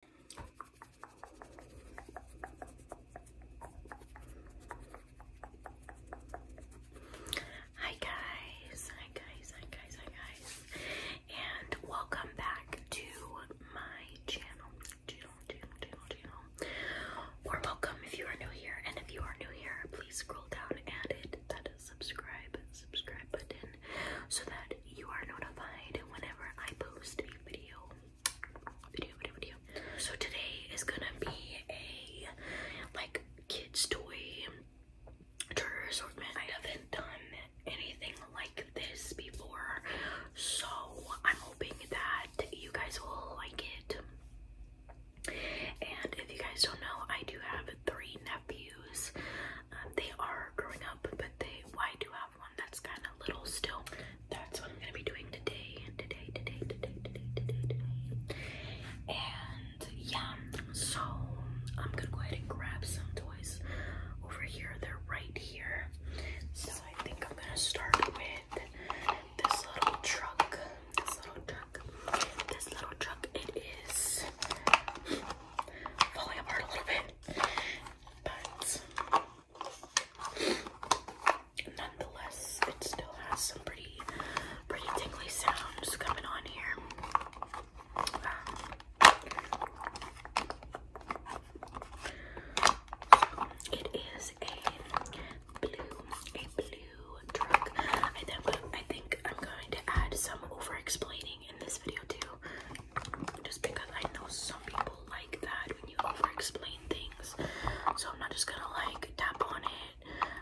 Hi guys, hi guys, hi guys, hi guys, and welcome back to my channel, channel, channel, channel, welcome if you are new here, and if you are new here, please scroll down and hit that subscribe, subscribe button so that you are notified whenever I post a video. Video, video, video. So today is gonna be a like kids' toy tour assortment. I haven't done anything like this before, so I'm hoping that you guys will like it. And if you guys don't know, I do have three nephews. Um, they are growing up but they I do have one that's kind of little still. That's what I'm gonna be doing today and today, today, today, today, today, today. And yeah, so I'm gonna go ahead and grab some toys over here. They're right here. So I think I'm gonna start with this little truck. This little truck. This little truck. It is falling apart a little bit but nonetheless, it still has some pretty, pretty tingly sounds coming on here. Um, it is a blue, a blue drug. I think I'm going to add some over-explaining in this video too. Just because I know some people like that when you over explain things. So I'm not just gonna like tap on it.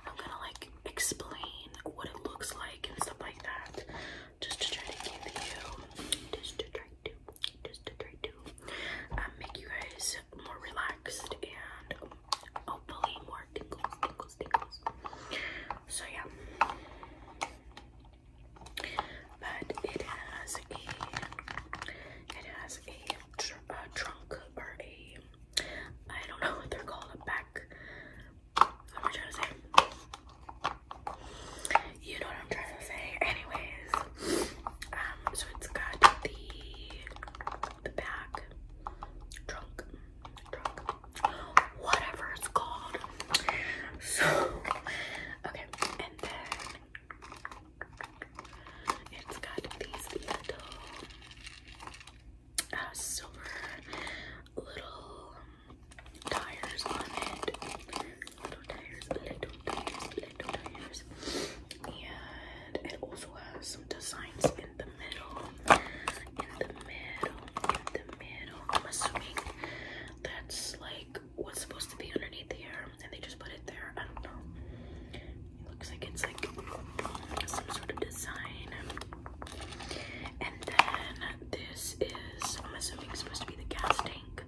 I'm gonna like explain what it looks like and stuff like that. Just to try to give you just to try to just to try to um, make you guys more relaxed and hopefully more tingles, tingles, tingles. So yeah but it has a it has a, trunk or a I don't know what they're called a back. What am trying to say? You know what I'm trying to say. Anyways, um, so it's got the the back trunk, trunk, whatever it's called. So, okay, and then it's got these little uh, silver little tires on it. Little tires, little tires, little tires. And it also has some designs in the middle. In the middle, in the middle. I'm assuming that's like like what's supposed to be underneath the here and they just put it there. I don't know. It looks like it's like some sort of design. And then this is, I'm assuming, supposed to be the gas tank.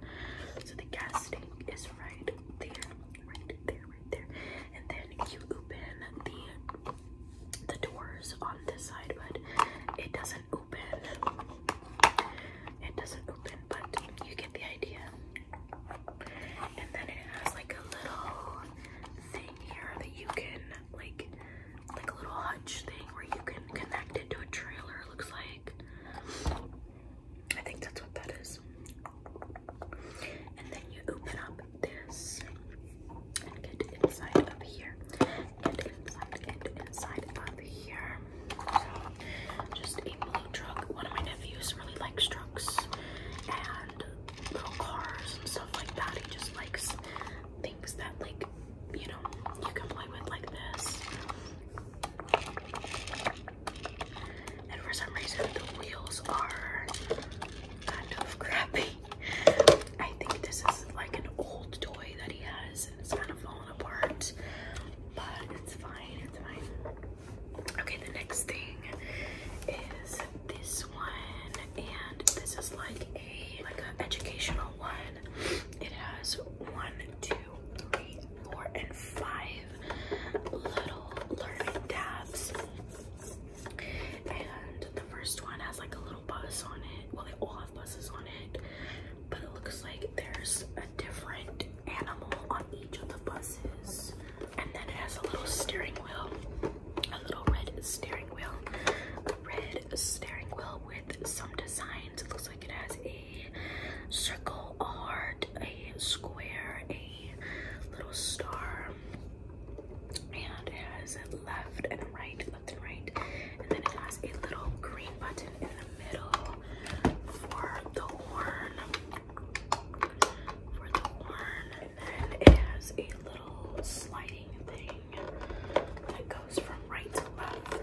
So the gas tank is right there, right there, right there. And then you open the the doors on this side, but it doesn't open it doesn't open, but you get the idea. And then it has like a little thing here that you can like like a little hutch thing where you can connect it to a trailer, looks like. I think that's what that is. And then you open up this and get inside of here and inside and inside up here. So just a mini truck. One of my nephews really likes trucks and little cars and stuff like that. He just likes things that like you know you can play with like this. And for some reason the wheels are kind of crappy. I think this is like an old toy that he has and it's kind of fallen Okay, the next thing is this one, and this is like a like an educational one. It has one, two, three, four, and five little learning tabs. And the first one has like a little bus on it. Well, they all have buses on it but it looks like there's a different animal on each of the buses. And then it has a little steering wheel, a little red steering wheel, a red steering wheel with some designs. It looks like it has a circle, a a square, a little star, and it has a left and right and right. And then it has a little green button in the middle for the horn. For the horn. And then it has a little sliding thing that goes from right to left.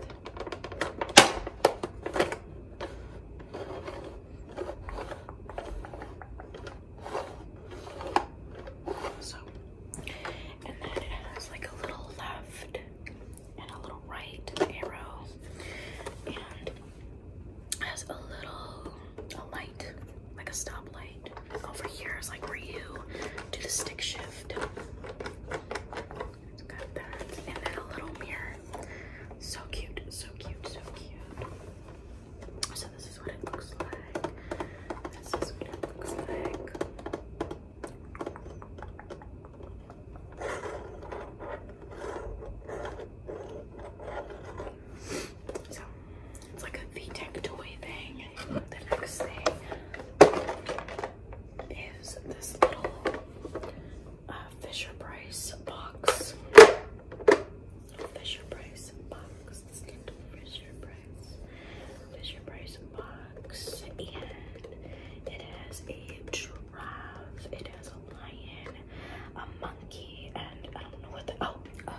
So, and then it has like a little left and a little right arrow and has a little a light like a stoplight over here is like where do the stick shift got that and then a little mirror so cute so cute so cute so this is what it looks like this is what it looks like so it's like a V-Tech toy thing. The next thing is this little uh, Fisher Price box. Fisher Price box. Price, Fisher Price box, and it has a giraffe, it has a lion, a monkey, and I don't know what the oh, uh,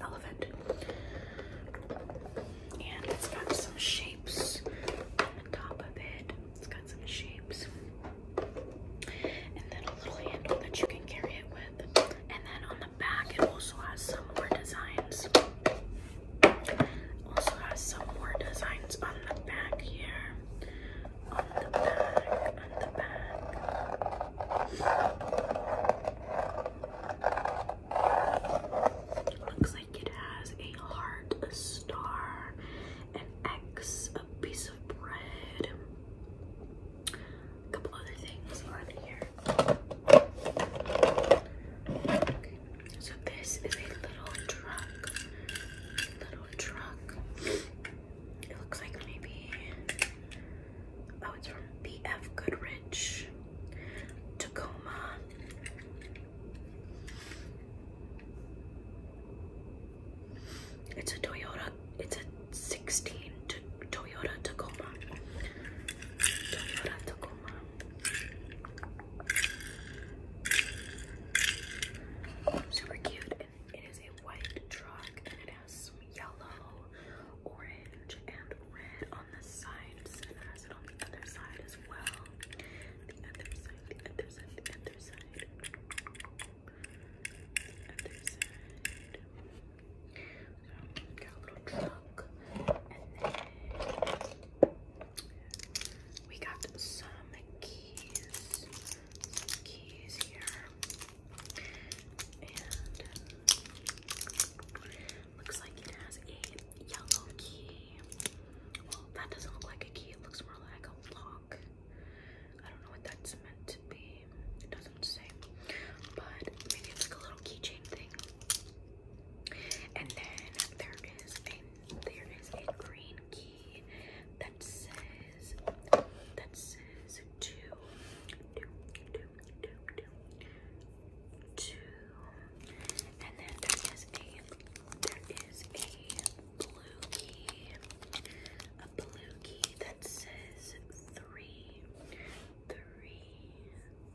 elephant. And it's got some shapes on top of it. It's got some shapes, and then a little handle that you can carry it with. And then on the back, it also has some more designs. Also has some more designs on the back here. On the back, on the back. Looks like it has a heart, a star, an X, a piece of bread, a couple other things on here. So this is a little truck. Little trunk. It looks like maybe oh it's from BF Goodrich. Tacoma. It's a Toyota. It's a 16 Toyota Tacoma. Super cute. And it is a white truck and it has some yellow, orange, and red on the sides. And has it on the other side as well. the other side, the other side. The other side we got some keys. keys here. And uh, looks like it has a yellow key. Well, that doesn't look like a key, it looks more like a lock. I don't know what that's meant to be. It doesn't say. But maybe it's like a little keychain thing. And then there is a there is a green key that says that says two two two two two two and then there is a there is a blue key a blue key that says three three,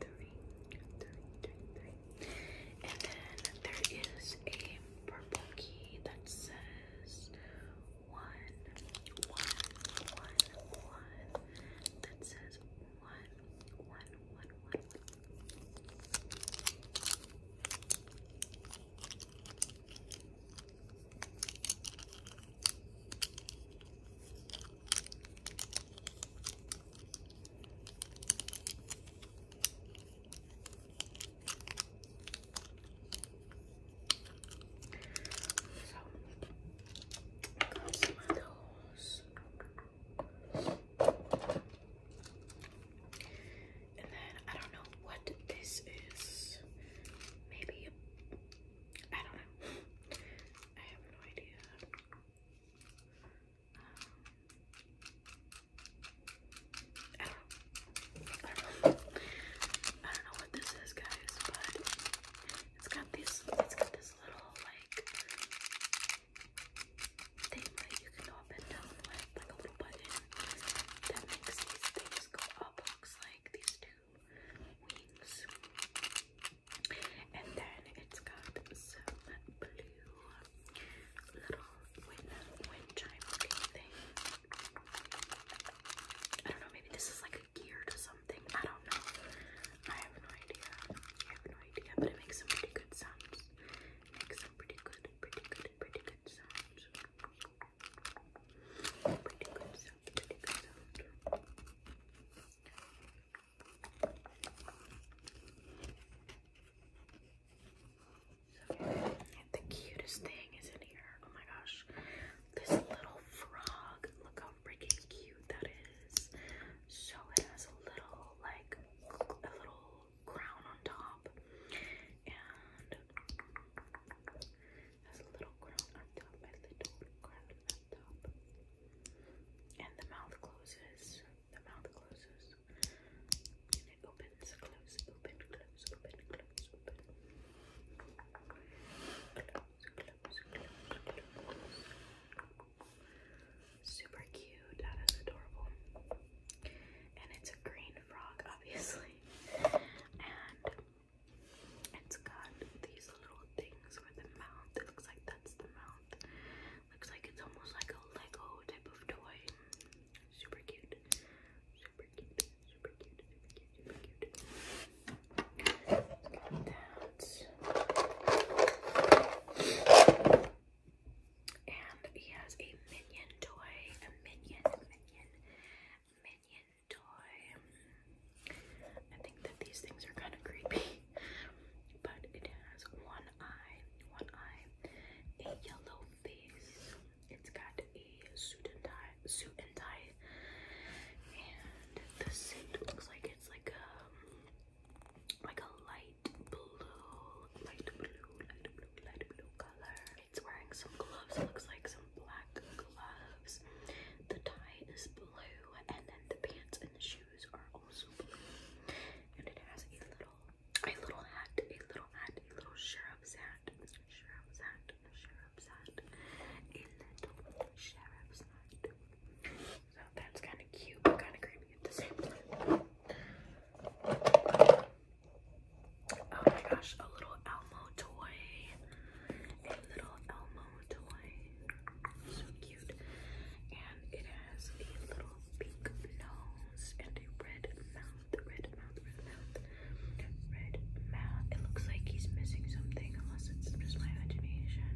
three, three, three, three. And then there is a purple key that says one, one, one, one. That says one, one, one, one. I got And then I don't know what this is. Maybe I don't know. I have no idea. I don't, know. what this is, guys, but it's got these. It's got this little like thing that you can go down with, like a little button that makes these things go up. Looks like these two wings. And then it's got some blue little wind, chime thing. I don't know, maybe this is like a gear to something. I don't know. I have no idea. I have no idea, but it makes some pretty good sounds. makes some pretty good, pretty good, pretty good sounds. Pretty good sound, pretty good sound the cutest thing is in here. Oh my gosh. This little frog. Look how freaking cute that is. So it has a little like a little crown on top. And has a little crown on top and the mouth closes. The mouth closes. it opens, close, open, close, open, close, open. Super cute. That is adorable. And it's a green frog, obviously. And it's got these little things for the mouth. It looks like that's the mouth. Looks like it's almost like a Lego type of toy. Super cute. Super cute. Super cute. Super cute. That. And he has a minion toy. A minion, minion, minion toy. I think that these things are kind of creepy, but it has one eye, one eye, a yellow face. It's got a suit and tie, suit and tie, and the suit looks like it's like a um, like a light blue, light blue, light blue, light blue color. It's wearing some gloves. It looks like some black gloves. The tie is blue, and then the pants and the shoes are also blue. And it has a little, a little hat, a little hat, a little sheriff's hat, sheriff's hat, sheriff's hat, a little sheriff's hat. So that's kind of cute, kind of creepy at the same time. Oh my gosh, a little Elmo toy. A little Elmo toy. So cute. And it has a little pink nose and a red mouth. Red red mouth, red mouth. It looks like he's missing something, unless it's just my imagination.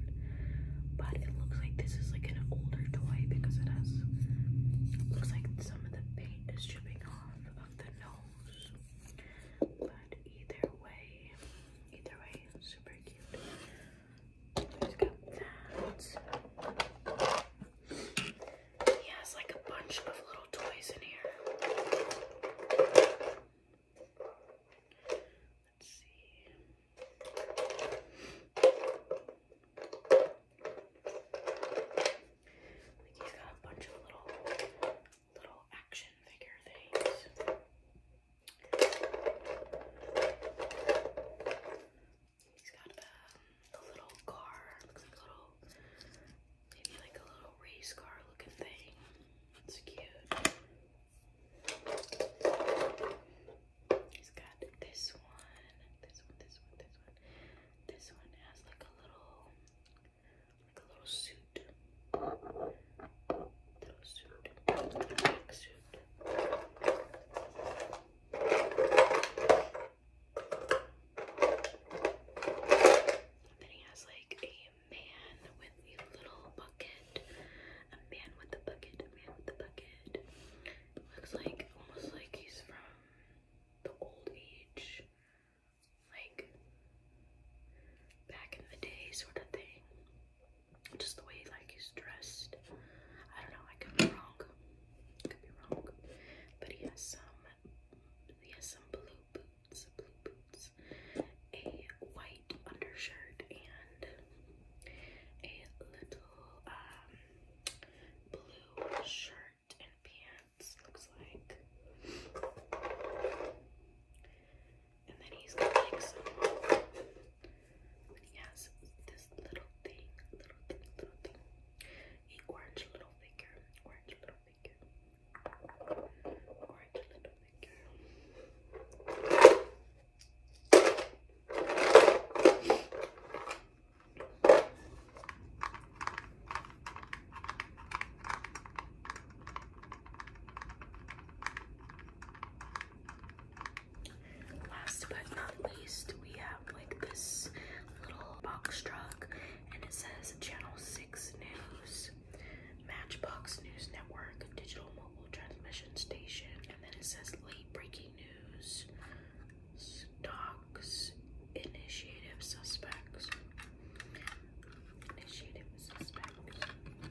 But it looks like this is like an older toy because it has looks like some of the paint is dripping off of the nose. But either way, either way, super He's like a bunch of little toys in here. Let's see. he's got a bunch of little little action figure things. He's got the, little car, like a little, maybe like a little race car looking thing. It's cute. He's got this one, this one, this one, this one. This one has like a little like a little suit. Little suit. Black suit. Then he has like a man with a little bucket. A man with a bucket. A man with a bucket. Looks like almost like he's from the old age. Like back in the day sort of thing. Just the way like he's dressed. I don't know, I could be wrong. could be wrong. But he has some he has some blue boots, blue boots, a white undershirt and a little um, blue shirt and pants looks like and then he's got like some. He has this little thing, little thing, little thing. A orange little figure, orange little figure, orange little figure. Last but not least, we have like this little box truck, and it says Channel 6 News, Matchbox News Network, Digital Mobile Transmission Station, and then it says Late Breaking News, Stocks, Initiative Suspects, Initiative Suspects.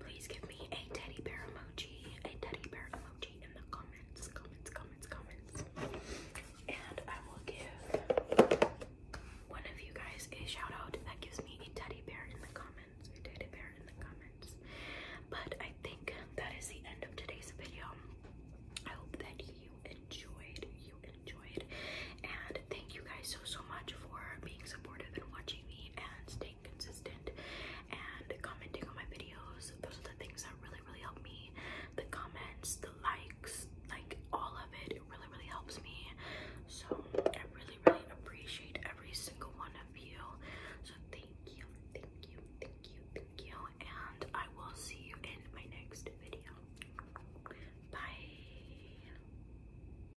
Please give me a teddy bear emoji, a teddy bear emoji in the comments, comments, comments, comments. And I will give one of you guys a shout out that gives me a teddy bear in the comments, a teddy bear in the comments. But I think that is the end of today's video. I hope that you enjoyed, you enjoyed, and thank you guys so, so much for being supportive and watching and staying consistent and commenting on my videos. Those are the things that really, really help me. The comments, the likes, like all of it, it really, really helps me. So I really, really appreciate every single one of you. So thank you, thank you, thank you, thank you. And I will see you in my next video. Bye.